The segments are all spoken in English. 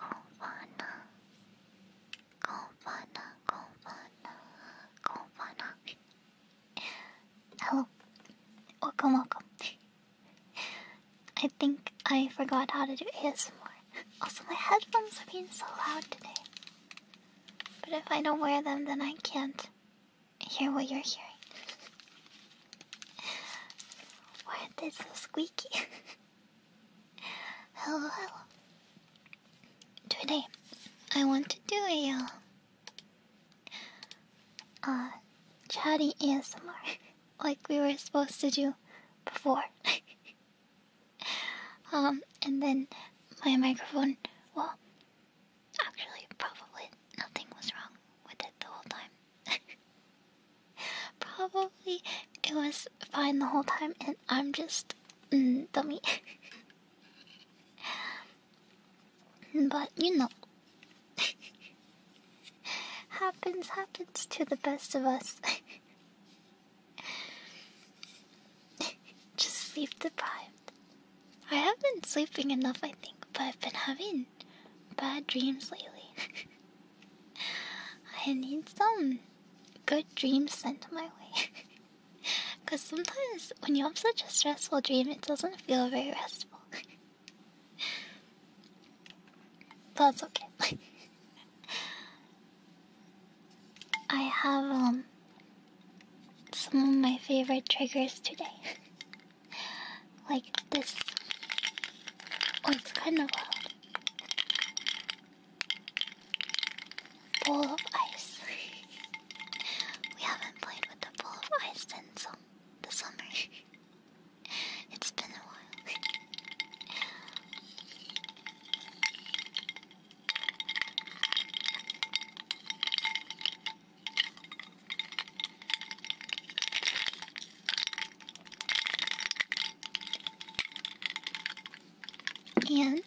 Hello. Confana. Confana. Confana. Confana. Hello. Welcome, welcome. I think I forgot how to do ASMR. Also, my headphones are being so loud today. But if I don't wear them, then I can't hear what you're hearing. Why are they so squeaky? hello, hello. Today, I want to do a uh, uh, chatting more, like we were supposed to do before. um, and then my microphone, well, actually, probably nothing was wrong with it the whole time. probably it was fine the whole time, and I'm just mm, dummy. But you know, happens, happens to the best of us. Just sleep deprived. I have been sleeping enough, I think, but I've been having bad dreams lately. I need some good dreams sent my way. Because sometimes when you have such a stressful dream, it doesn't feel very restful. That's okay. I have um, some of my favorite triggers today. like this. Oh, it's kind of loud. Bowl of ice. we haven't played with the bowl of ice in the summer. it's been a while. And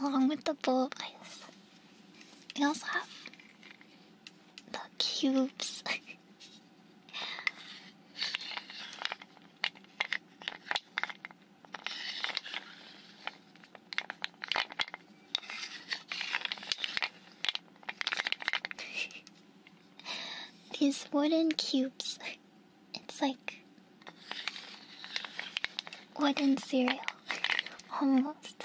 along with the bowl of ice. We also have the cubes. These wooden cubes. It's like wooden cereal. Almost.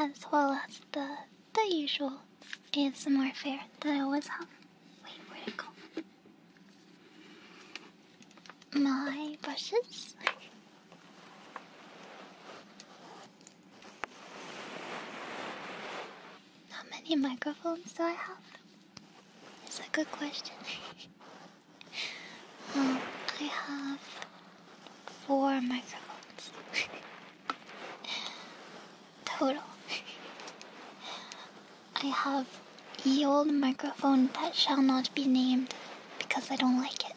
as well as the the usual more fare that I always have. Wait, where'd it go? My brushes. How many microphones do I have? It's a good question. um, I have four microphones. Total. I have the old microphone that shall not be named because I don't like it.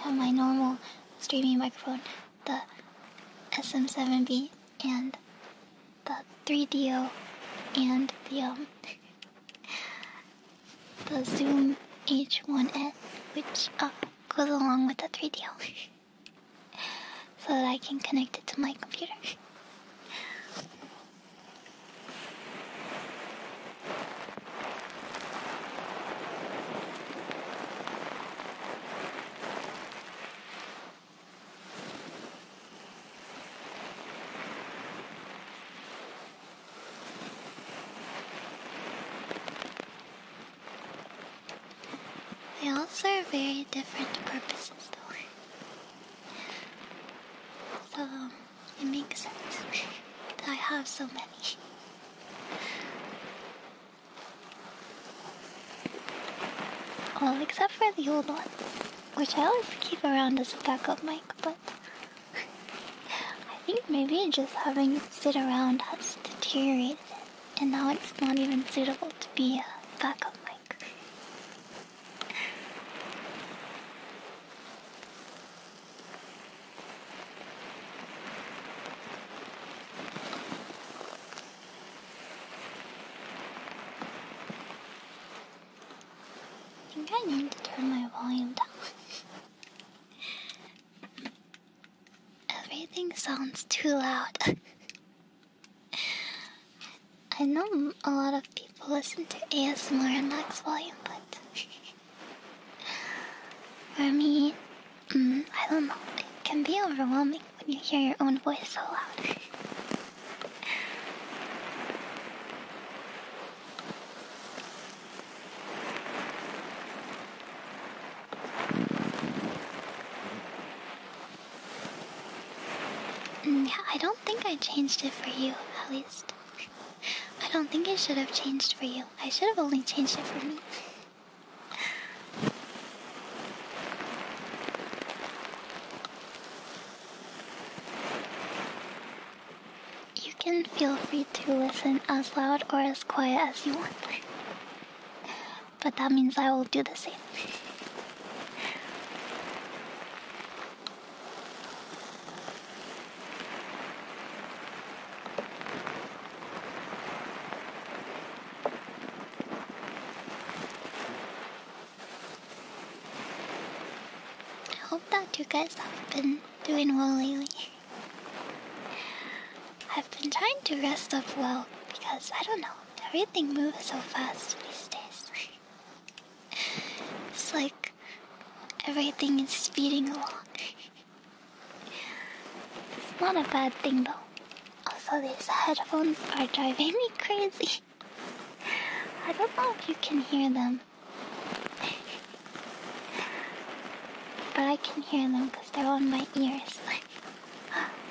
I have my normal streaming microphone, the SM7B, and the 3DO, and the um, the Zoom H1N, which uh, goes along with the 3DO. so that I can connect it to my computer. They all serve very different purposes though. So it makes sense that I have so many. All except for the old one, which I always keep around as a backup mic, but I think maybe just having it sit around has deteriorated it and now it's not even suitable to be a backup mic. I think I need to turn my volume down. Everything sounds too loud. I know a lot of people listen to ASMR in max volume, but for me, mm, I don't know. It can be overwhelming when you hear your own voice so loud. Mm, I don't think I changed it for you, at least. I don't think I should have changed for you. I should have only changed it for me. You can feel free to listen as loud or as quiet as you want but that means I will do the same. I hope that you guys have been doing well lately. I've been trying to rest up well because I don't know, everything moves so fast these days. it's like everything is speeding along. it's not a bad thing though. Also, these headphones are driving me crazy. I don't know if you can hear them. but I can hear them because they're on my ears.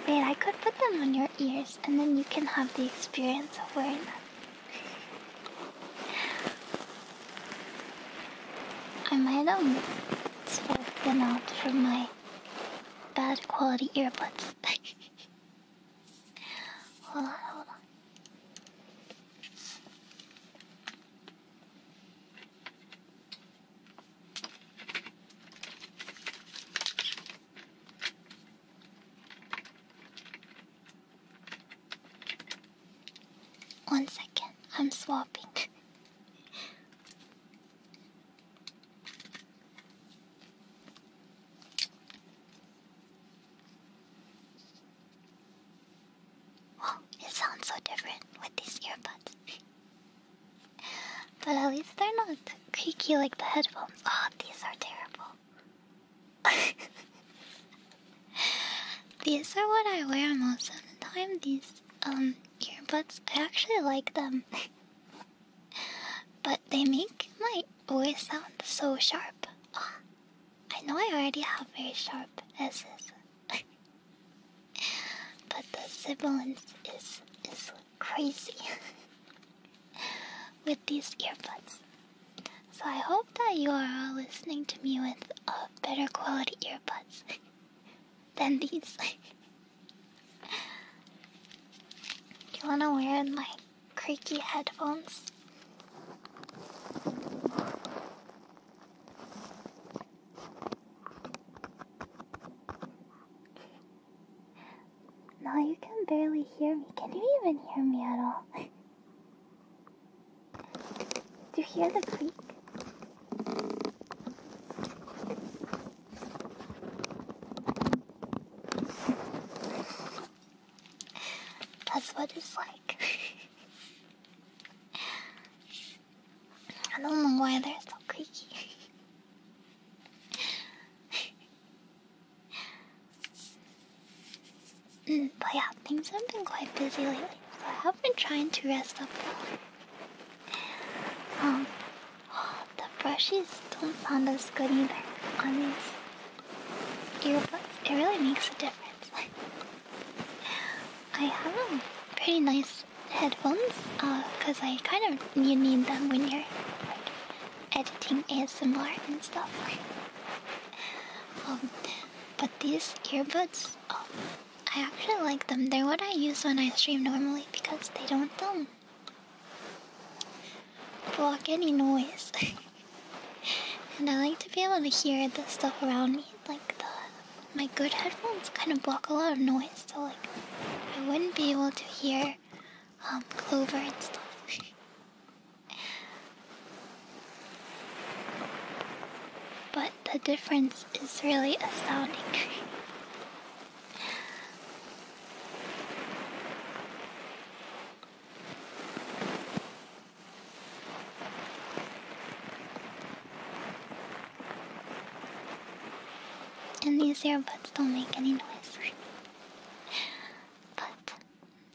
Wait, I could put them on your ears and then you can have the experience of wearing them. I might um swap them out for my bad quality earbuds. hold on, hold on. One second, I'm swapping. Wow, it sounds so different with these earbuds. But at least they're not creaky like the headphones. Oh, these are terrible. these are what I wear most of the time. These um earbuds, I actually like them, but they make my voice sound so sharp. Oh, I know I already have very sharp S's. but the sibilance is is crazy with these earbuds. So I hope that you are listening to me with uh, better quality earbuds than these. Do you wanna wear my creaky headphones? No, you can barely hear me. Can you even hear me at all? Do you hear the creak? That's what it's like. I don't know why they're so creaky. mm, but yeah, things have been quite busy lately, so I have been trying to rest up well. Um, the brushes don't sound as good either on these earbuds. It really makes a difference. I have a pretty nice headphones because uh, I kind of you need them when you're editing ASMR and stuff. um, but these earbuds, oh, I actually like them. They're what I use when I stream normally because they don't um, block any noise. and I like to be able to hear the stuff around me, like the my good headphones kind of block a lot of noise, so like I wouldn't be able to hear um, clover and stuff. but the difference is really astounding. And these earbuds don't make any noise. but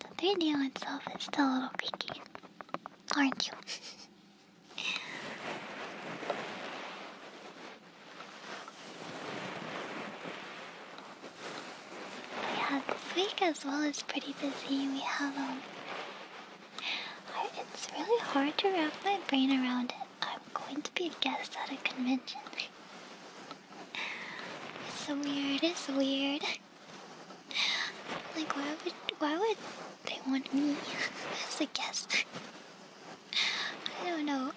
the video itself is still a little creaky. Aren't you? yeah, this week as well is pretty busy. We have a um, it's really hard to wrap my brain around it. I'm going to be a guest at a convention. It's so weird, it's weird. Like why would why would they want me as a guest? I don't know.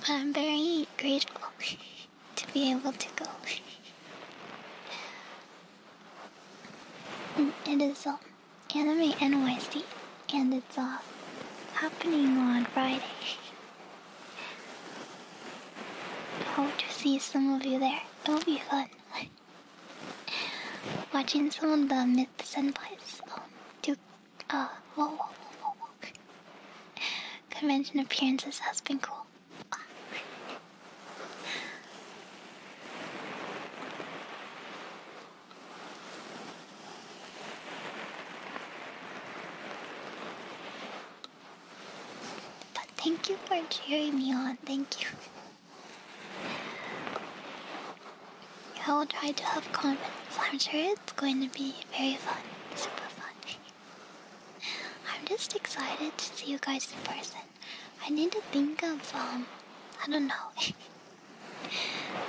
But I'm very grateful to be able to go. it is um Anime NYC, and it's off. Uh, happening on Friday. Hope to see some of you there. It'll be fun. Watching some of the myths and plays um, do uh whoa, whoa, whoa, whoa. convention appearances has been cool. But thank you for cheering me on, thank you. I will try to have confidence. I'm sure it's going to be very fun, super fun. I'm just excited to see you guys in person. I need to think of um, I don't know.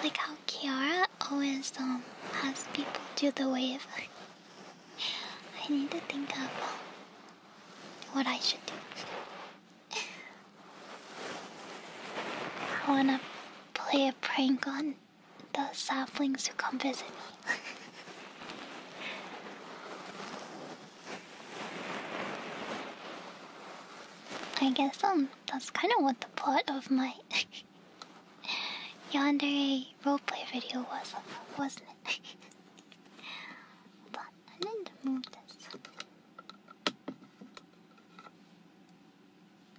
Like how Kiara always um has people do the wave. I need to think of um, what I should do. I wanna play a prank on the saplings who come visit me. I guess um that's kind of what the plot of my Yonder roleplay video was wasn't it? Hold I need to move this.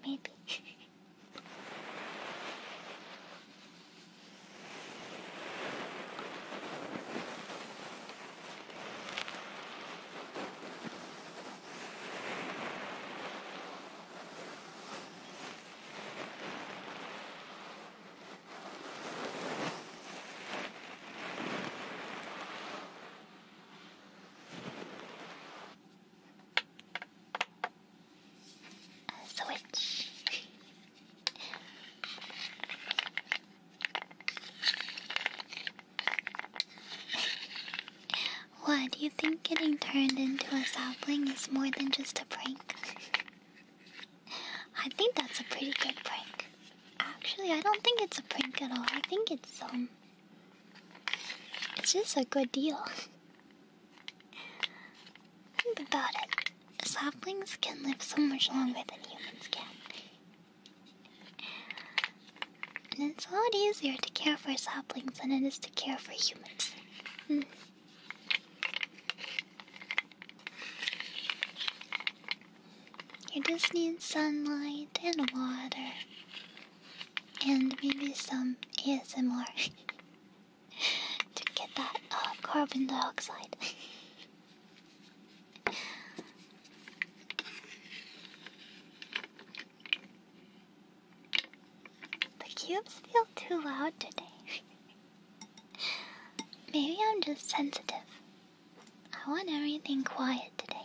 Maybe. switch. What, do you think getting turned into a sapling is more than just a prank? I think that's a pretty good prank. Actually, I don't think it's a prank at all. I think it's, um, it's just a good deal. think about it. Saplings can live so much longer than humans can. And it's a lot easier to care for saplings than it is to care for humans. Hmm. You just need sunlight and water. And maybe some ASMR to get that uh, carbon dioxide. The cubes feel too loud today. Maybe I'm just sensitive. I want everything quiet today.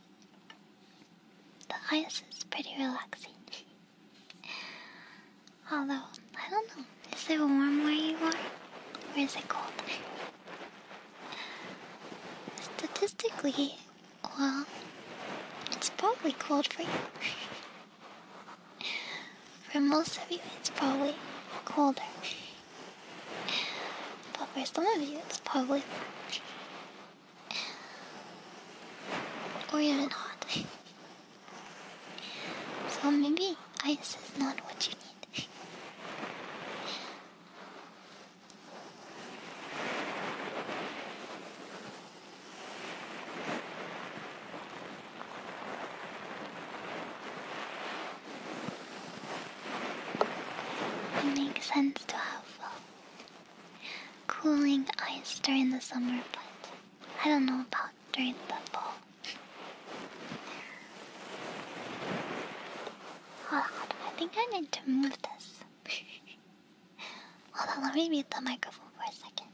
The ice is pretty relaxing. Although, I don't know, is it warm where you are? Or is it cold? Statistically, well, it's probably cold for you. for most of you, it's probably colder. But for some of you, it's probably or even are not. so maybe ice is not what you need. It makes sense to have uh, cooling ice during the summer, but I don't know about during the fall. Hold on, I think I need to move this. Hold on, let me mute the microphone for a second.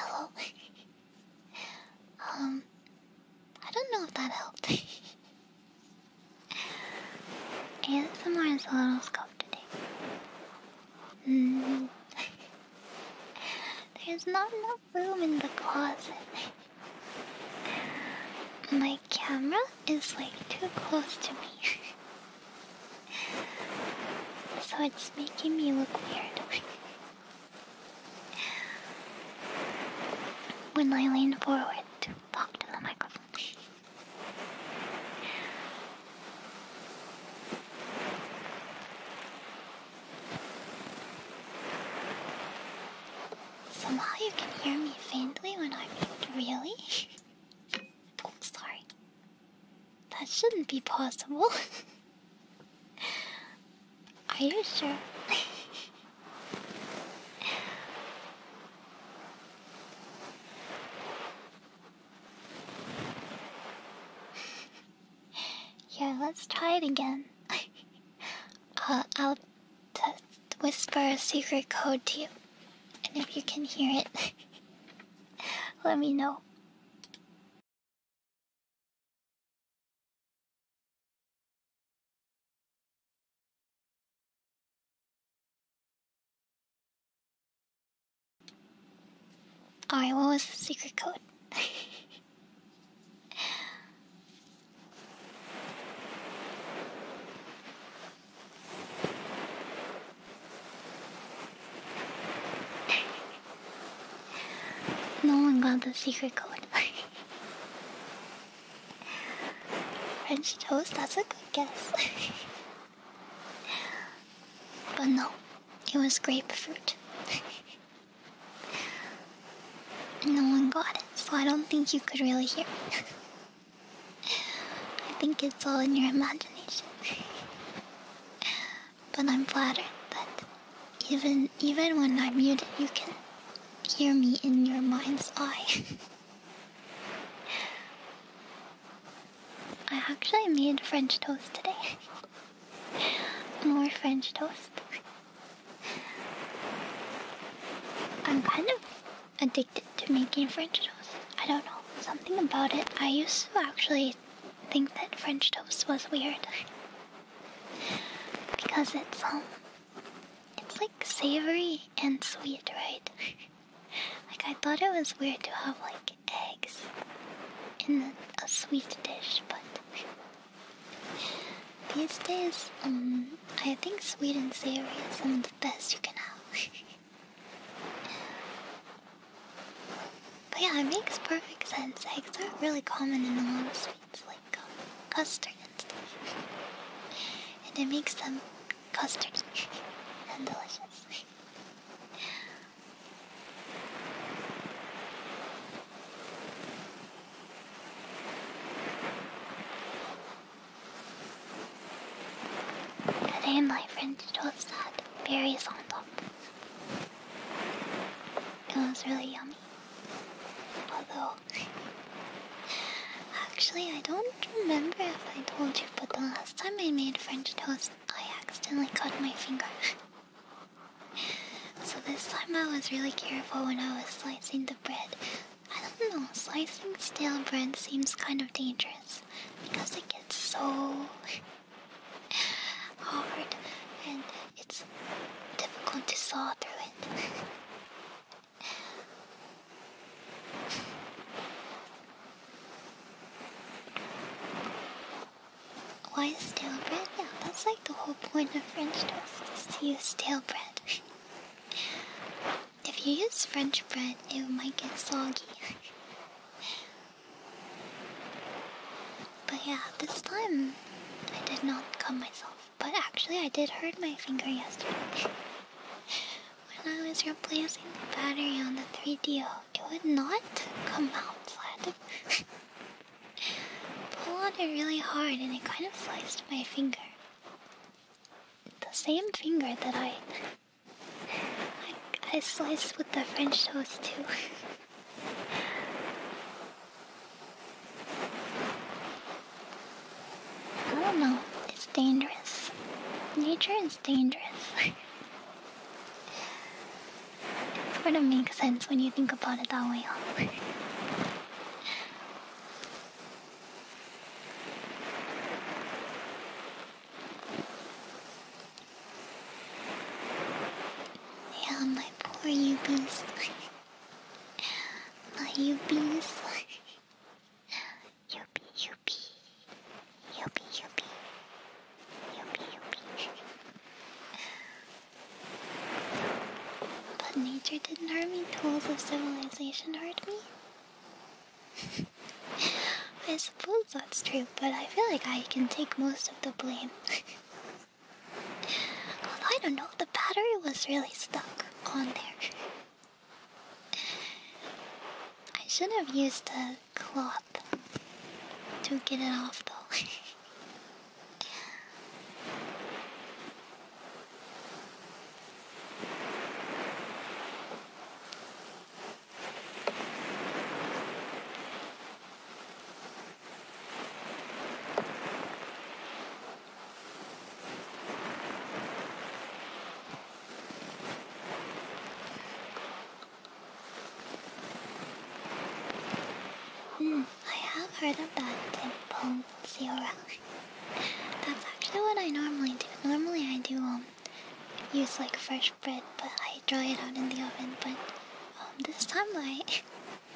Hello. um, I don't know if that helped. ASMR is a little scuffed today. Mm. There's not enough room in the closet. My my camera is like too close to me. so it's making me look weird. when I lean forward to talk to the microphone. Somehow you can hear me faintly when I'm really? oh, sorry. That shouldn't be possible. Are you sure? Yeah, let's try it again. Uh, I'll to whisper a secret code to you. And if you can hear it, let me know. Alright, what was the secret code? no one got the secret code. French toast, that's a good guess. but no, it was grapefruit. no one got it, so I don't think you could really hear me. I think it's all in your imagination. but I'm flattered that even even when I'm muted, you can hear me in your mind's eye. I actually made French toast today. More French toast. I'm kind of addicted to making French toast. I don't know, something about it. I used to actually think that French toast was weird because it's um it's like savory and sweet, right? like I thought it was weird to have like eggs in a sweet dish, but these days, um, I think sweet and savory is some of the best you can have but yeah, it makes perfect sense. Eggs are really common in the long of like um, custard and stuff. and it makes them custardy and delicious. Today my friend toast had berries on top. It was really yummy. Although, actually, I don't remember if I told you, but the last time I made French toast, I accidentally cut my finger. so this time I was really careful when I was slicing the bread I don't know, slicing stale bread seems kind of dangerous because it gets so hard and it's difficult to saw through it. Why stale bread? Yeah, that's like the whole point of French toast is to use stale bread. If you use French bread, it might get soggy. but yeah, this time I did not cut myself. But actually, I did hurt my finger yesterday. when I was replacing the battery on the 3DO, it would not come out. So I pull on it really hard and it kind of sliced my finger the same finger that I, I, sliced with the French toast too. I don't know. It's dangerous. Nature is dangerous. it sort of makes sense when you think about it that way. Yeah, my poor UBs. my UBs. Yuppie, yuppie. Yuppie, yuppie. Yuppie, yuppie. But nature didn't hurt me, tools of civilization hurt me. I suppose that's true, but I feel like I can take most of the blame. I don't know, the battery was really stuck on there. I should have used a cloth to get it off though. Hmm, I have heard of that temple zero. That's actually what I normally do. Normally I do um use like fresh bread, but I dry it out in the oven. But um, this time I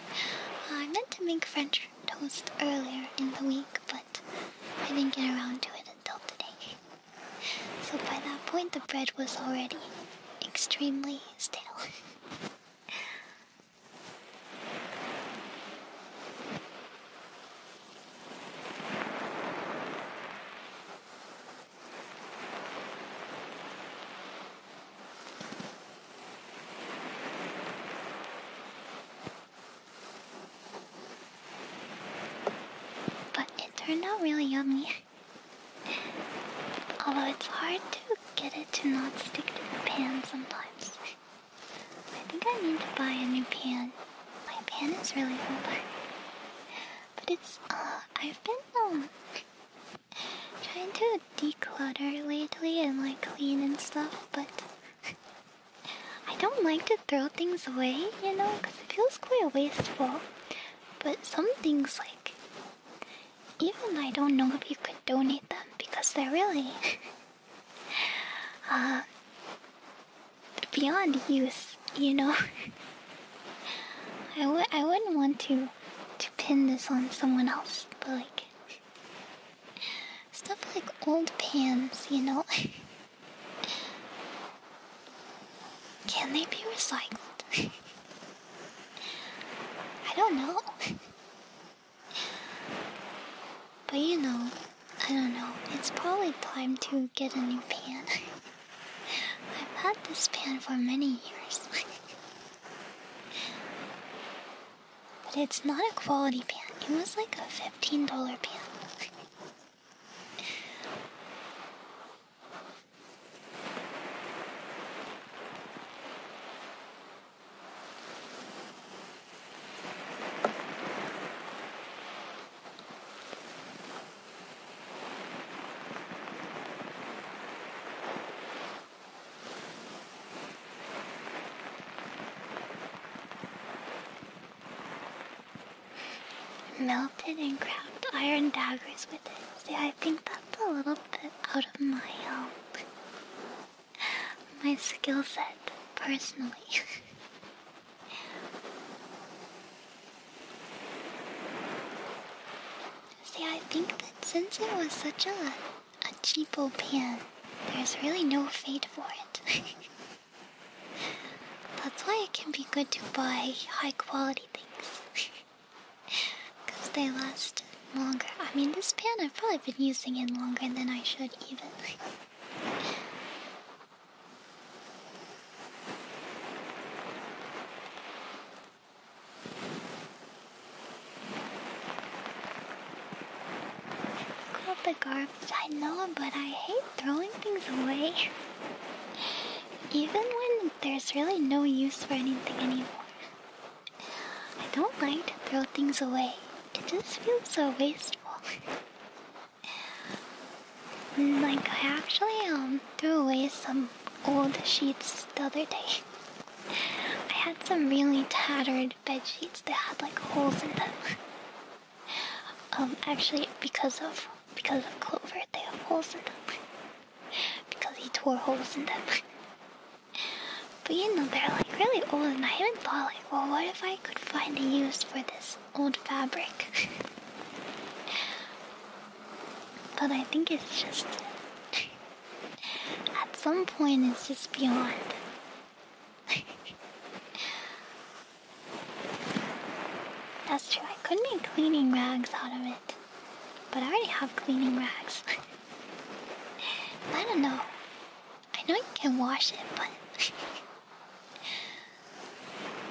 I meant to make French toast earlier in the week, but I didn't get around to it until today. So by that point, the bread was already extremely stale. But it turned out really yummy. Although it's hard to get it to not stick to the pan sometimes. I think I need to buy a new pan. My pan is really open. But it's, uh, I've been, um, trying to declutter lately and, like, clean and stuff, but I don't like to throw things away, you know, because it feels quite wasteful. But some things, like, even I don't know if you could donate them because they're really, uh, beyond use, you know. I would I wouldn't want to to pin this on someone else, but like stuff like old pans, you know. Can they be recycled? I don't know. but you know, I don't know, it's probably time to get a new pan. I've had this pan for many years. but it's not a quality pan, it was like a $15 pan. Melted and crafted iron daggers with it. See, I think that's a little bit out of my um, my skill set personally. See, I think that since it was such a, a cheapo pan, there's really no fate for it. That's why it can be good to buy high quality things. Because they last longer. I mean, this pan I've probably been using it longer than I should, even. the garbage, I know, but I hate throwing things away. Even when there's really no use for anything anymore. I don't like to throw things away. It just feels so wasteful like I actually um threw away some old sheets the other day. I had some really tattered bed sheets that had like holes in them. Um, actually, because of because of Clover, they have holes in them. because he tore holes in them. but you know, they're like really old, and I even thought like, well, what if I could find a use for this old fabric. but I think it's just. at some point, it's just beyond. That's true, I could make cleaning rags out of it. But I already have cleaning rags. I don't know. I know you can wash it, but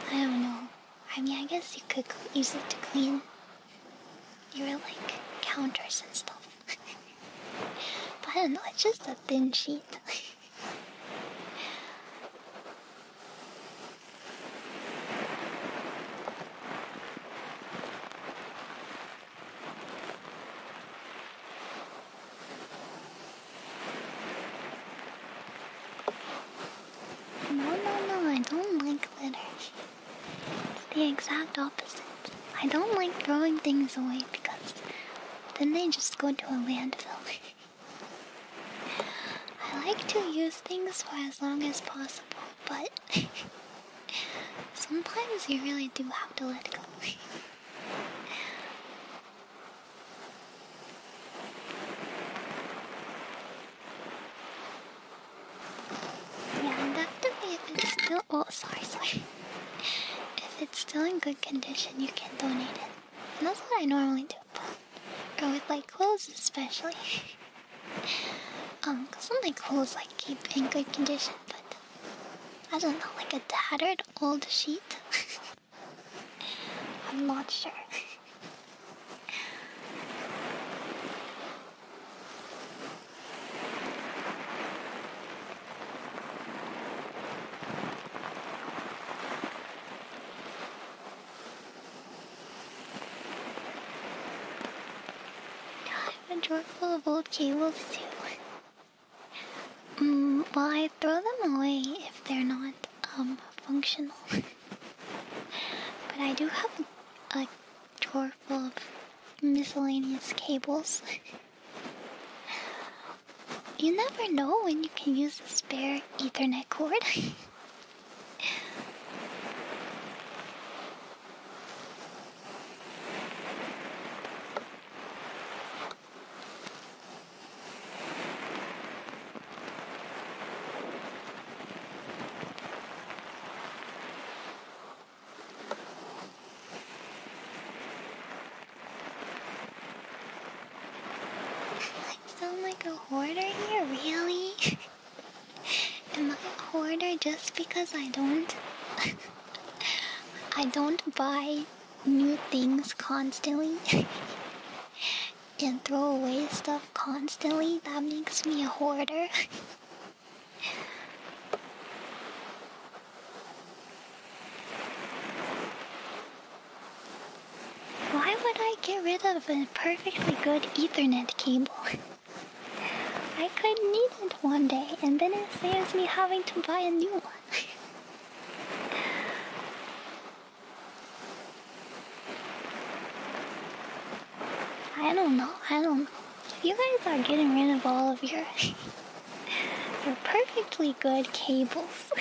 I don't know. I mean, I guess you could use it to clean your like counters and stuff. but I don't know, it's just a thin sheet. No, no, no, I don't like litter. It's the exact opposite. I don't like throwing things away because then they just go to a landfill. I like to use things for as long as possible, but sometimes you really do have to let go. Yeah, and if it's still oh sorry, sorry. If it's still in good condition you can donate it. And that's what I normally do. But, with like clothes especially. um, cause some of my clothes like keep in good condition, but I don't know, like a tattered old sheet. I'm not sure. I have a drawer full of old cables too. Mm, well, I throw them away if they're not um functional. but I do have a, drawer full of miscellaneous cables. you never know when you can use a spare Ethernet cord. I sound like a hoarder here, really? Am I a hoarder just because I don't I don't buy new things constantly? and throw away stuff constantly, that makes me a hoarder. Why would I get rid of a perfectly good Ethernet cable? I could need it one day, and then it saves me having to buy a new one. I don't know. I don't know. You guys are getting rid of all of your your perfectly good cables.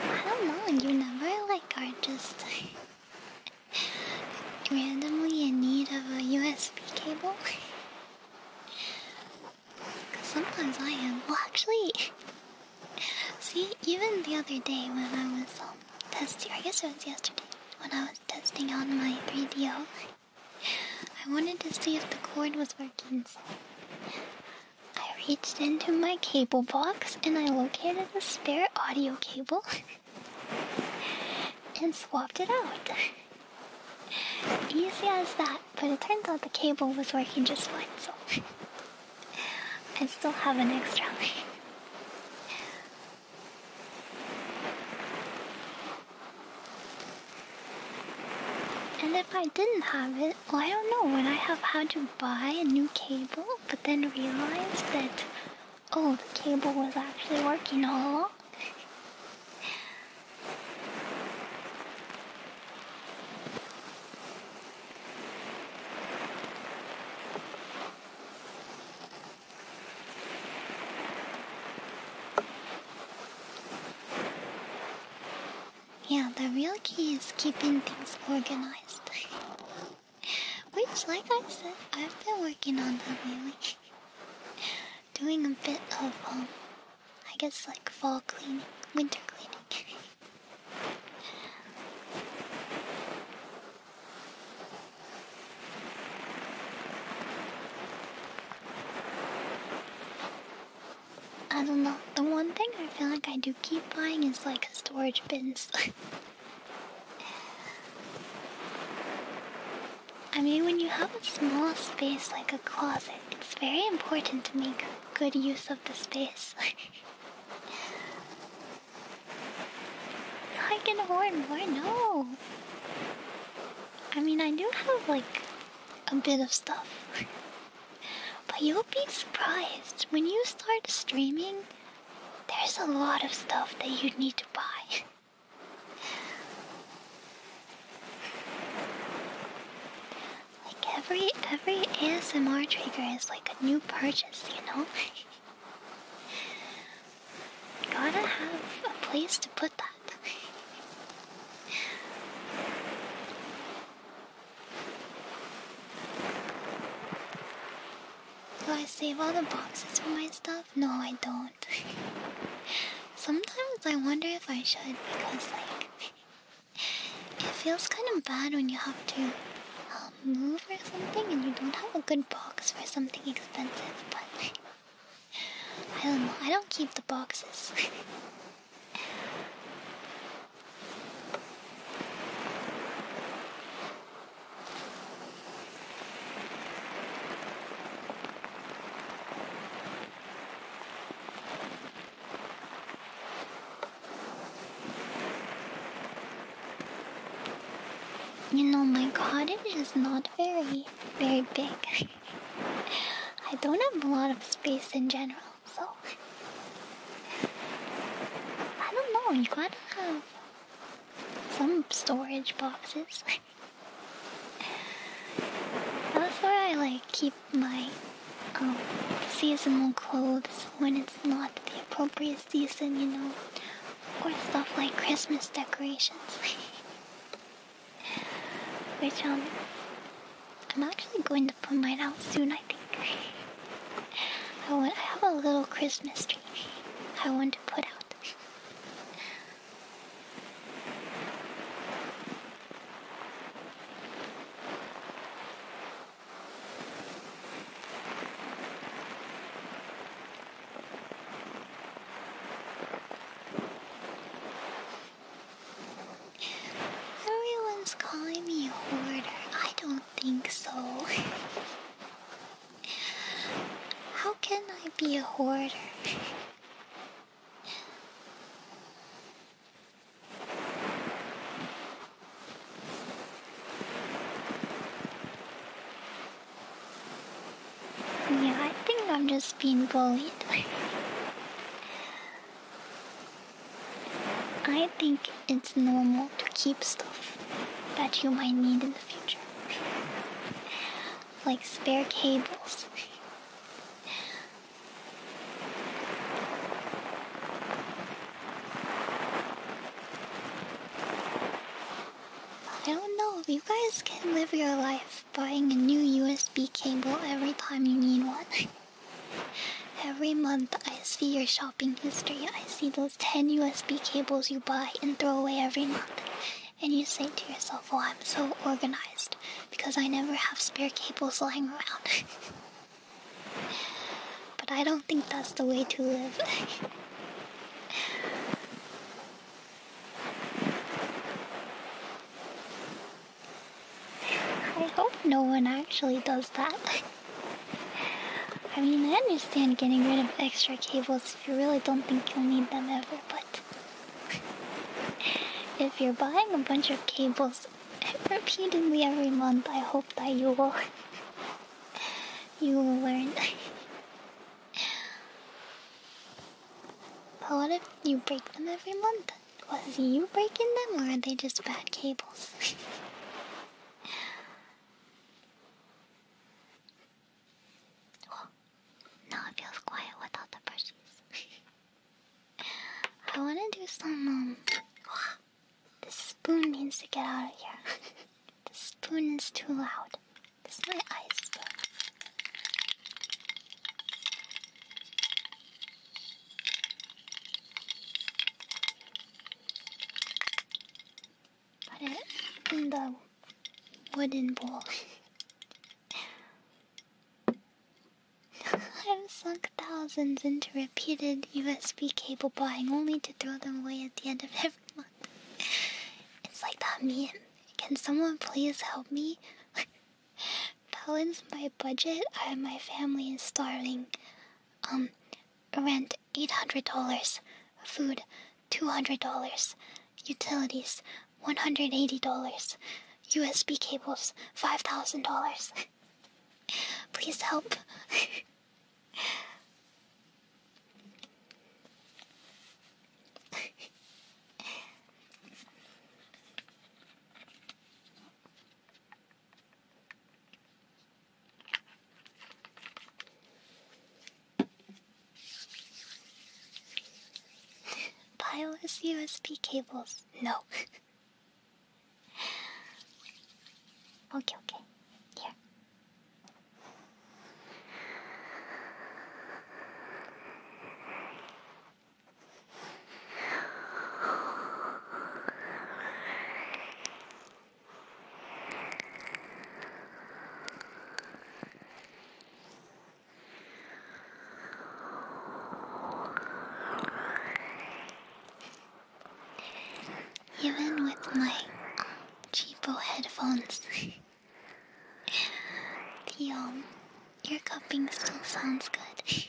I don't know, you never like are just randomly in need of a USB cable. Cause sometimes I am. Well, actually, see, even the other day when I was um, testing, I guess it was yesterday, when I was testing out my 3 I wanted to see if the cord was working. I reached into my cable box and I located a spare audio cable and swapped it out. Easy as that, but it turned out the cable was working just fine, so I still have an extra. and if I didn't have it, well, I don't know when I have had to buy a new cable, but then realized that oh, the cable was actually working all along. Yeah, the real key is keeping things organized. Which, like I said, I've been working on that lately. Doing a bit of, um, I guess like fall cleaning, winter cleaning. I don't know. The one thing I feel like I do keep buying is like storage bins. I mean, when you have a small space like a closet, it's very important to make good use of the space. I can hoard more, no! I mean, I do have like a bit of stuff. But you'll be surprised when you start streaming, there's a lot of stuff that you need to buy. like every every ASMR trigger is like a new purchase, you know? Gotta have a place to put that. Do I save all the boxes for my stuff? No, I don't. Sometimes I wonder if I should because, like, it feels kind of bad when you have to um, move or something and you don't have a good box for something expensive, but I don't know. I don't keep the boxes. You know, my cottage is not very, very big. I don't have a lot of space in general so I don't know, you gotta have some storage boxes. That's where I like keep my um, seasonal clothes when it's not the appropriate season, you know, or stuff like Christmas decorations, which um I'm actually going to put mine out soon, I think. I, want, I have a little Christmas tree I want to put out. Everyone's calling me a hoarder. I don't think so. How can I be a hoarder? Yeah, I think I'm just being bullied. I think it's normal to keep stuff that you might need in the future, like spare cables. I don't know, you guys can live your life buying a new USB cable every time you need one. Every month I see your shopping history. I see those 10 USB cables you buy and throw away every month. And you say to yourself, oh, I'm so organized because I never have spare cables lying around. but I don't think that's the way to live. I hope no one actually does that. I mean, I understand getting rid of extra cables if you really don't think you'll need them ever, but if you're buying a bunch of cables repeatedly every month, I hope that you will you will learn. but what if you break them every month? Was you breaking them, or are they just bad cables? tables. now it feels quiet without the brushes. I want to do some, um, the spoon needs to get out of here. the spoon is too loud. is my ice spoon. Put it in the wooden bowl. I've sunk thousands into repeated USB cable buying only to throw them away at the end of every month. It's like that meme. Can someone please help me? Balance my budget. I, my family is starving. Um, rent eight hundred dollars, food two hundred dollars, utilities one hundred eighty dollars, USB cables five thousand dollars. Please help. Pileless USB cables. No. okay, okay. Here. Even with my cheapo headphones, the um, cupping still sounds good.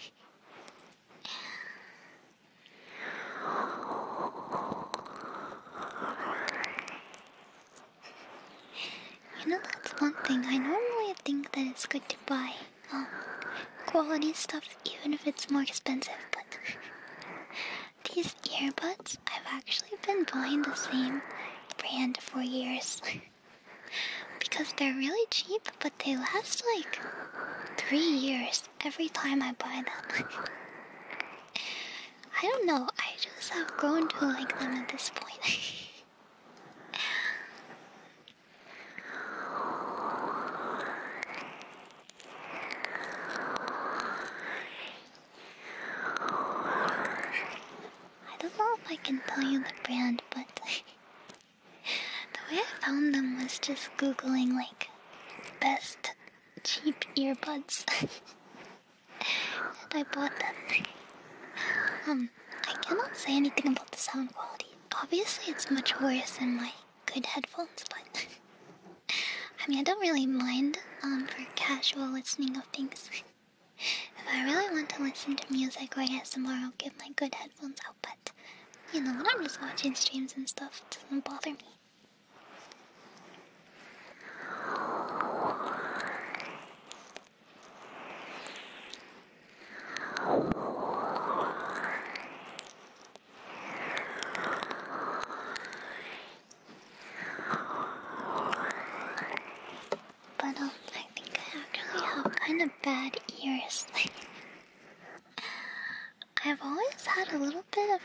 You know, that's one thing. I normally think that it's good to buy um, quality stuff even if it's more expensive, but these earbuds, I've actually been buying the same brand for years. because they're really cheap, but they last like three years every time I buy them. I don't know, I just have grown to like them at this point. I don't know if I can tell you the brand, but the way I found them was just googling like best cheap earbuds. I bought them. Um, I cannot say anything about the sound quality. Obviously, it's much worse than my good headphones, but I mean, I don't really mind um, for casual listening of things. if I really want to listen to music or ASMR, I'll get my good headphones out, but you know, when I'm just watching streams and stuff, it doesn't bother me. But um, I think I actually have kind of bad ears. Like, I've always had a little bit of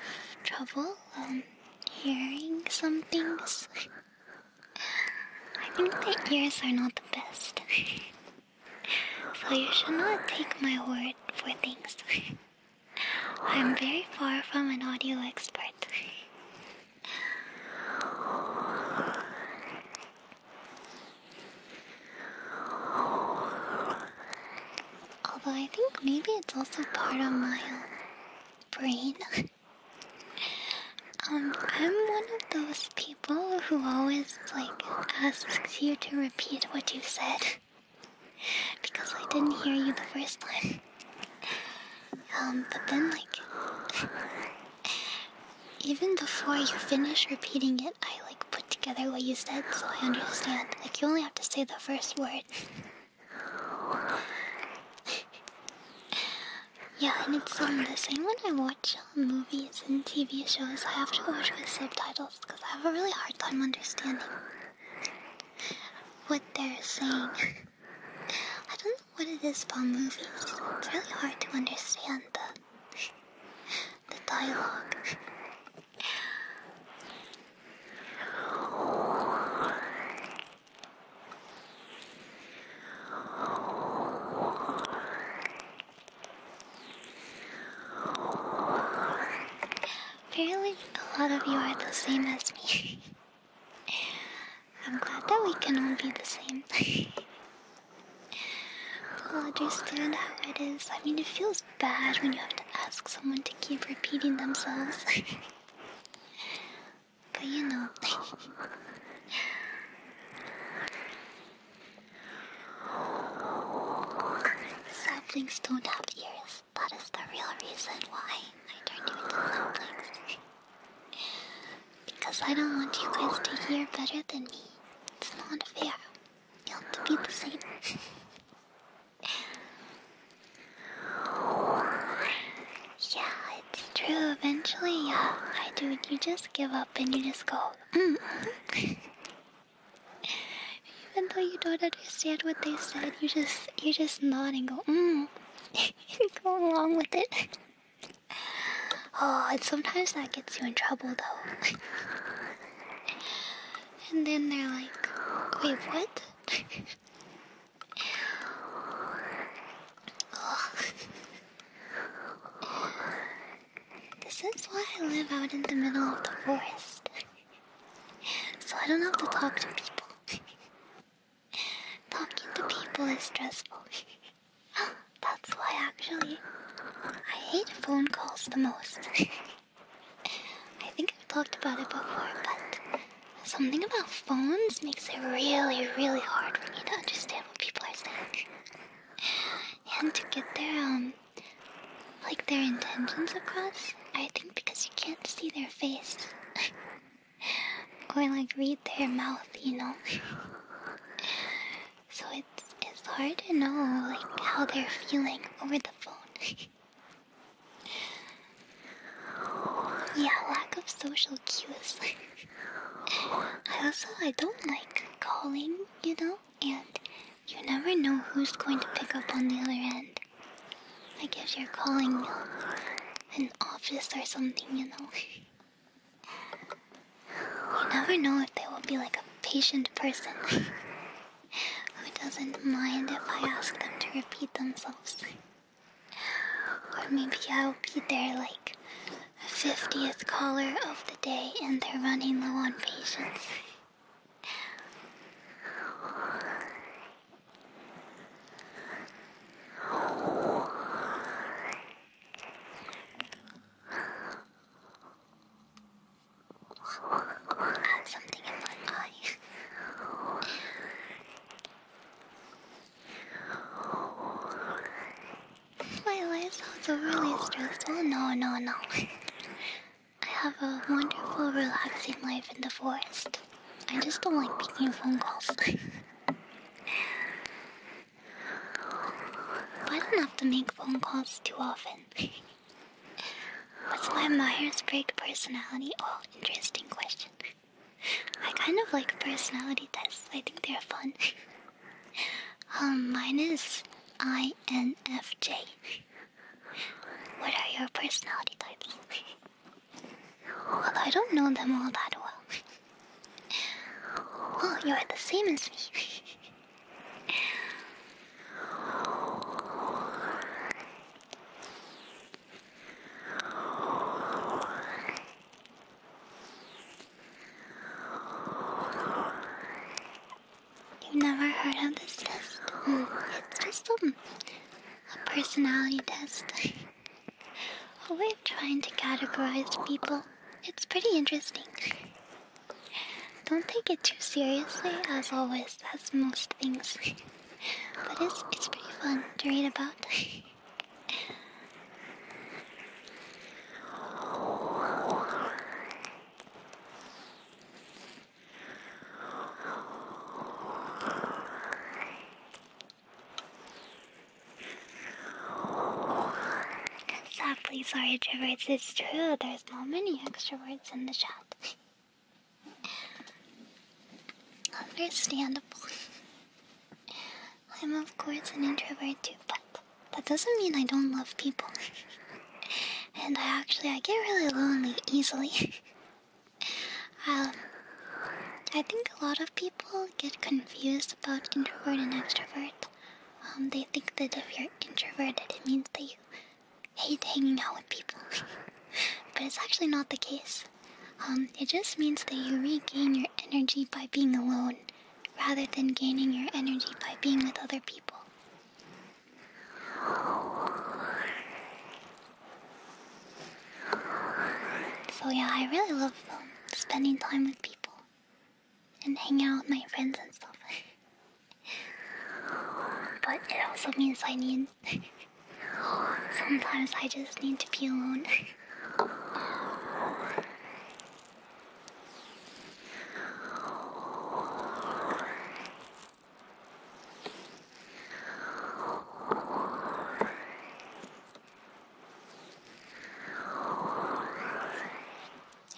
trouble um, hearing some things. I think the ears are not the best. so you should not take my word for things. I'm very far from an audio expert. Although I think maybe it's also part of my brain. um, I'm one of those people who always like asks you to repeat what you said because I didn't hear you the first time. Um, but then like even before you finish repeating it, I like put together what you said so I understand. Like, you only have to say the first word. yeah, and it's um, the same when I watch um, movies and TV shows. I have to watch with subtitles because I have a really hard time understanding what they're saying. I don't know what it is about movies. It's really hard to understand the the dialogue. Apparently, a lot of you are the same as me. I'm glad that we can all be the same. I'll understand how it is. I mean, it feels bad when you have to ask someone to keep repeating themselves. but you know. saplings don't have ears. That is the real reason why I turned you into saplings. because I don't want you guys to hear better than me. It's not fair. You have to be the same. yeah, it's true. Eventually, yeah, I do. You just give up and you just go. Mm. Even though you don't understand what they said, you just you just nod and go. Mm. go along with it. Oh, and sometimes that gets you in trouble though. and then they're like, wait, what? oh. This is why I live out in the middle of the forest. so I don't have to talk to people. Talking to people is stressful. That's why, actually, I hate phone calls the most. I think I've talked about it before, but something about phones makes it really, really hard for me to understand what people are saying. And to get their, um, like their intentions across, I think because you can't see their face. or like read their mouth, you know? so it's, it's hard to know like how they're feeling over the phone. Yeah, lack of social cues. also I don't like calling, you know, and you never know who's going to pick up on the other end. I guess you're calling an office or something, you know. You never know if they will be like a patient person who doesn't mind if I ask them to repeat themselves. Or maybe I'll be their like 50th caller of the day and they're running low on patience my eye. my life really stressful. Oh, no, no, no. I have a wonderful, relaxing life in the forest. I just don't like making phone calls. I don't have to make phone calls too often. What's my Myers Briggs personality? All interesting question. I kind of like personality tests, I think they're fun. um, mine is INFJ. What are your personality types? well, I don't know them all that well. well, you're the same as me. You've never heard of this test? it's just a personality test. a way of trying to categorize people. It's pretty interesting. Don't take it too seriously, as always. That's most things. but it's it's pretty fun to read about. Exactly, sorry, extroverts. It's true. There's not many extroverts in the chat. Understandable. I'm of course an introvert too, but that doesn't mean I don't love people. and I actually I get really lonely easily. um, I think a lot of people get confused about introvert and extrovert. Um, they think that if you're introverted, it means that you hate hanging out with people. but it's actually not the case. Um, it just means that you regain your energy by being alone rather than gaining your energy by being with other people. So, yeah, I really love um, spending time with people and hanging out with my friends and stuff. But it also means I need. Sometimes I just need to be alone.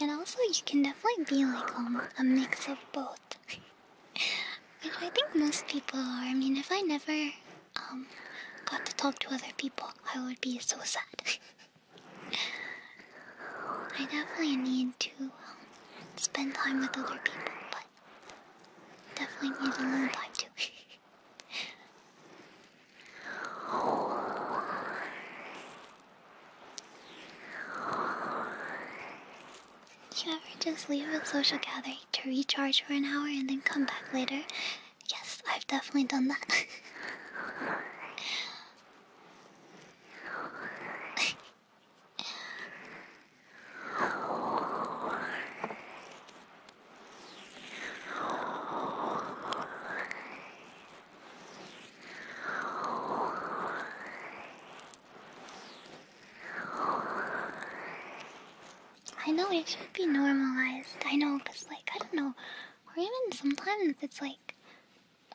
And also, you can definitely be like um, a mix of both. I think most people are. I mean, if I never um, got to talk to other people, I would be so sad. I definitely need to um, spend time with other people, but definitely need alone time too. You ever just leave a social gathering to recharge for an hour and then come back later? Yes, I've definitely done that. I know it should be normalized. I know, cause like I don't know, or even sometimes it's like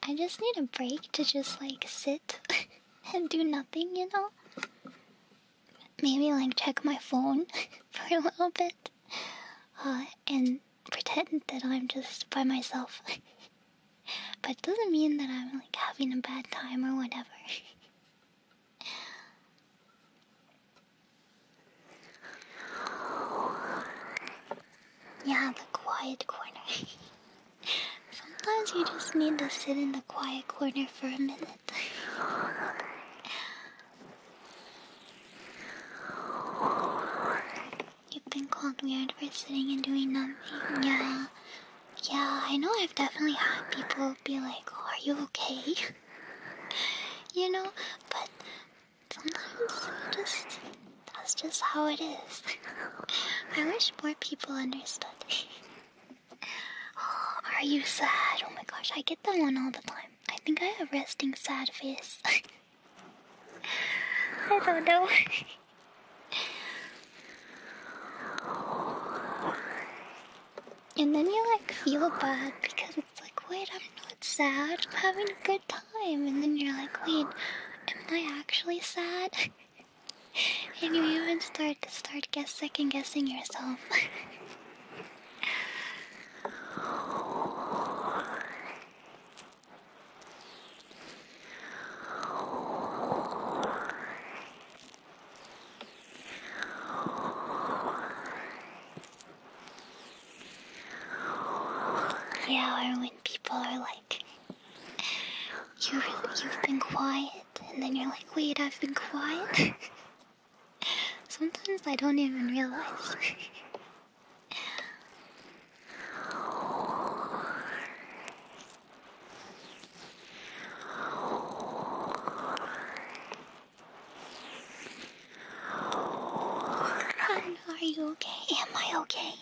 I just need a break to just like sit and do nothing, you know. Maybe like check my phone for a little bit, uh, and pretend that I'm just by myself. But it doesn't mean that I'm like having a bad time or whatever. yeah, the quiet corner. Sometimes you just need to sit in the quiet corner for a minute. You've been called weird for sitting and doing nothing. Yeah, yeah, I know I've definitely had people be like, oh, Are you okay? you know, but sometimes just that's just how it is. I wish more people understood. Oh, are you sad? Oh my gosh, I get that one all the time. I think I have resting sad face. I don't know. And then you like feel bad because it's like, wait, I'm not sad. I'm having a good time. And then you're like, wait, am I actually sad? and you even start to start guess second guessing yourself. Yeah, when people are like, you've been quiet, and then you're like, wait, I've been quiet. Sometimes I don't even realize. Are you okay? Am I okay?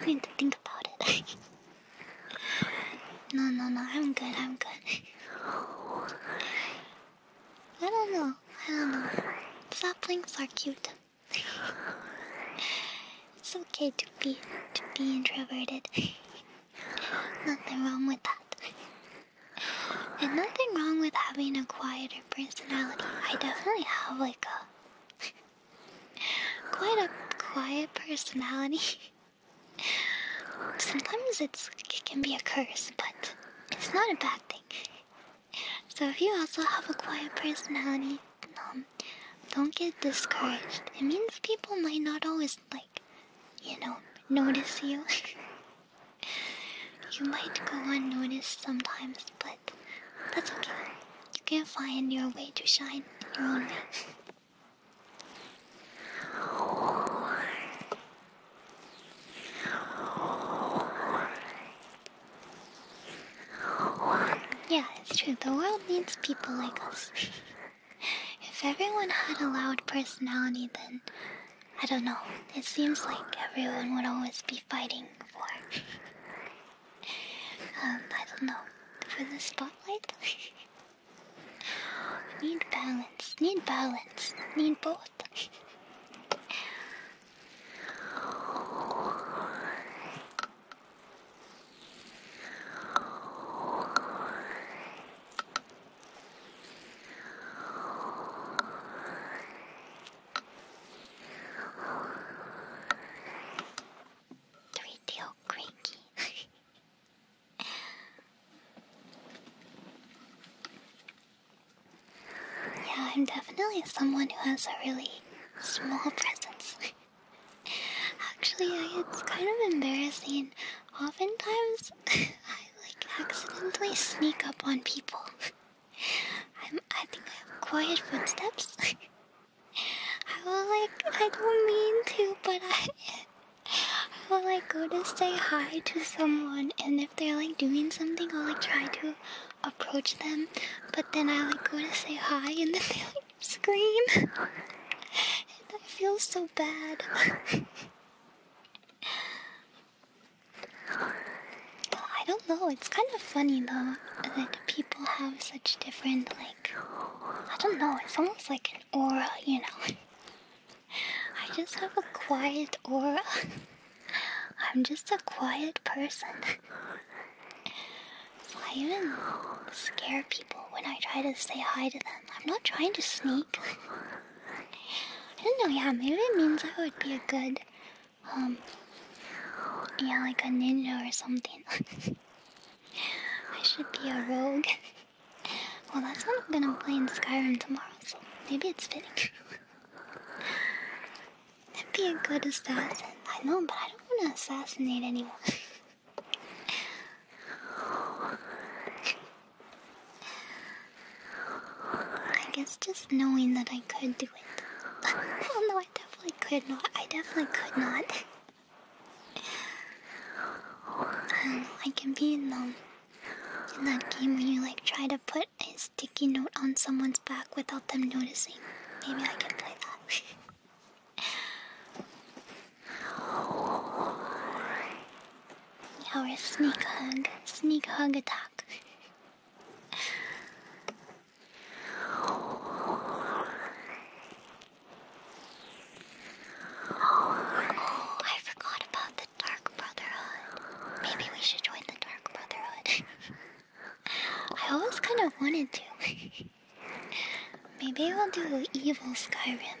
I need to think about it. no, no, no, I'm good, I'm good. I don't know, I don't know. Saplings are cute. it's okay to be to be introverted. Nothing wrong with that. And nothing wrong with having a quieter personality. I definitely have like a quite a quiet personality. Sometimes it can be a curse, but it's not a bad thing. So if you also have a quiet personality, um, don't get discouraged. It means people might not always like you know, notice you. you might go unnoticed sometimes, but that's okay. You can find your way to shine your own way. Yeah, it's true. The world needs people like us. If everyone had a loud personality, then I don't know. It seems like everyone would always be fighting for. um, I don't know. For the spotlight? need balance, need balance, need both. Three tail cranky. yeah, I'm definitely someone who has a really small presence. Actually, it's kind of embarrassing. Oftentimes, I like accidentally sneak up on people. I'm, I think I have quiet footsteps. I like, I don't mean to, but I, I like go to say hi to someone, and if they're like doing something, I'll like try to approach them, but then I like go to say hi, in the. they scream. and I feel so bad. I don't know, it's kind of funny though that people have such different, like, I don't know, it's almost like an aura, you know? I just have a quiet aura. I'm just a quiet person. I even scare people when I try to say hi to them. I'm not trying to sneak. I don't know, yeah, maybe it means I would be a good, um, yeah, like a ninja or something. I should be a rogue. well, that's what I'm gonna play in Skyrim tomorrow, so maybe it's fitting. That'd be a good assassin. I know, but I don't want to assassinate anyone. I guess just knowing that I could do it. oh no, I definitely could not. I definitely could not. um, I can be in um in that game where you like try to put a sticky note on someone's back without them noticing. Maybe I can play that. Our sneak hug, sneak hug attack. Oh, I forgot about the Dark Brotherhood. Maybe we should join the Dark Brotherhood. I always kind of wanted to. Maybe we'll do evil Skyrim.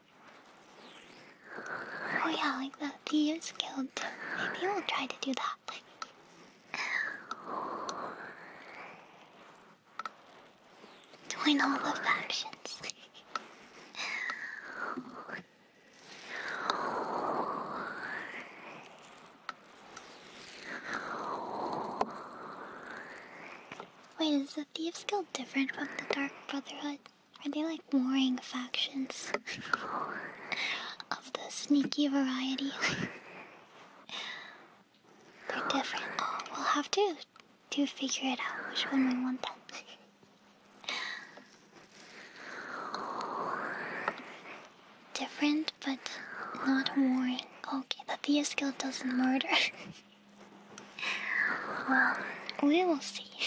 Oh yeah, like the thieves guild. Maybe we'll try to do that. Join all the factions. Wait, is the Thieves Guild different from the Dark Brotherhood? Are they like warring factions of the sneaky variety? They're different. Oh, we'll have to to figure it out which one we want then. Different but not warring. Okay, the Theist skill does not murder. well, we will see.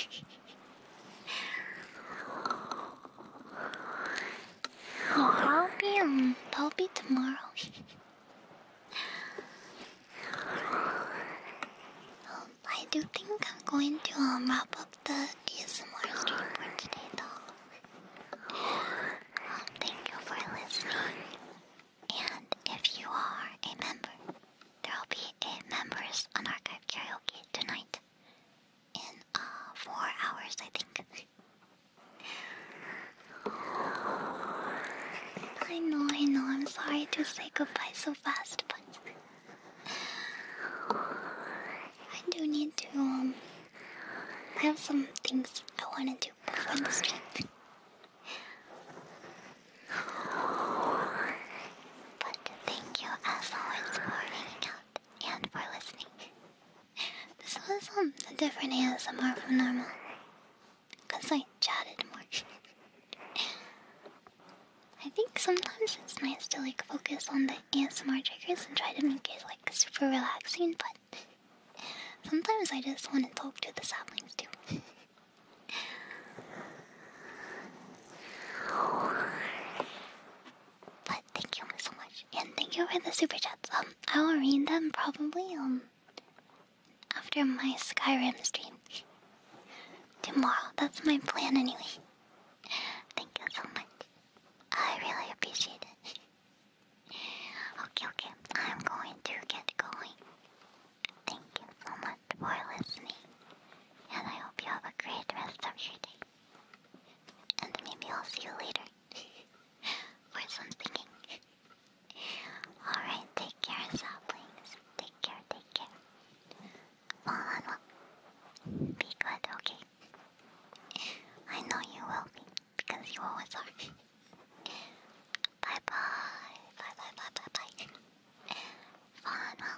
I'll be um, I'll be tomorrow. I do think I'm going to um, wrap up the ASMR stream for today, though. thank you for listening, and if you are a member there will be eight members on Archive Karaoke tonight. In uh, four hours, I think. I know, I know, I'm sorry to say goodbye so fast, but I do need to, um, have some things I want to do but thank you as always for hanging out and for listening. This was um, a different ASMR from normal. I chatted more. I think sometimes it's nice to like focus on the ASMR triggers and try to make it like super relaxing, but sometimes I just want to talk to the saplings too. But thank you so much, and thank you for the super chats. Um, I will read them probably um after my Skyrim stream tomorrow. That's my plan anyway. Thank you so much. I really appreciate it. Okay, okay. I'm going to get going. Thank you so much for listening, and I hope you have a great rest of your day. And maybe I'll see you later for some Alright, take care, saplings. Take care, take care. Follow Be good, okay? I know you will be, because you always are. bye bye. Bye bye bye bye bye. Follow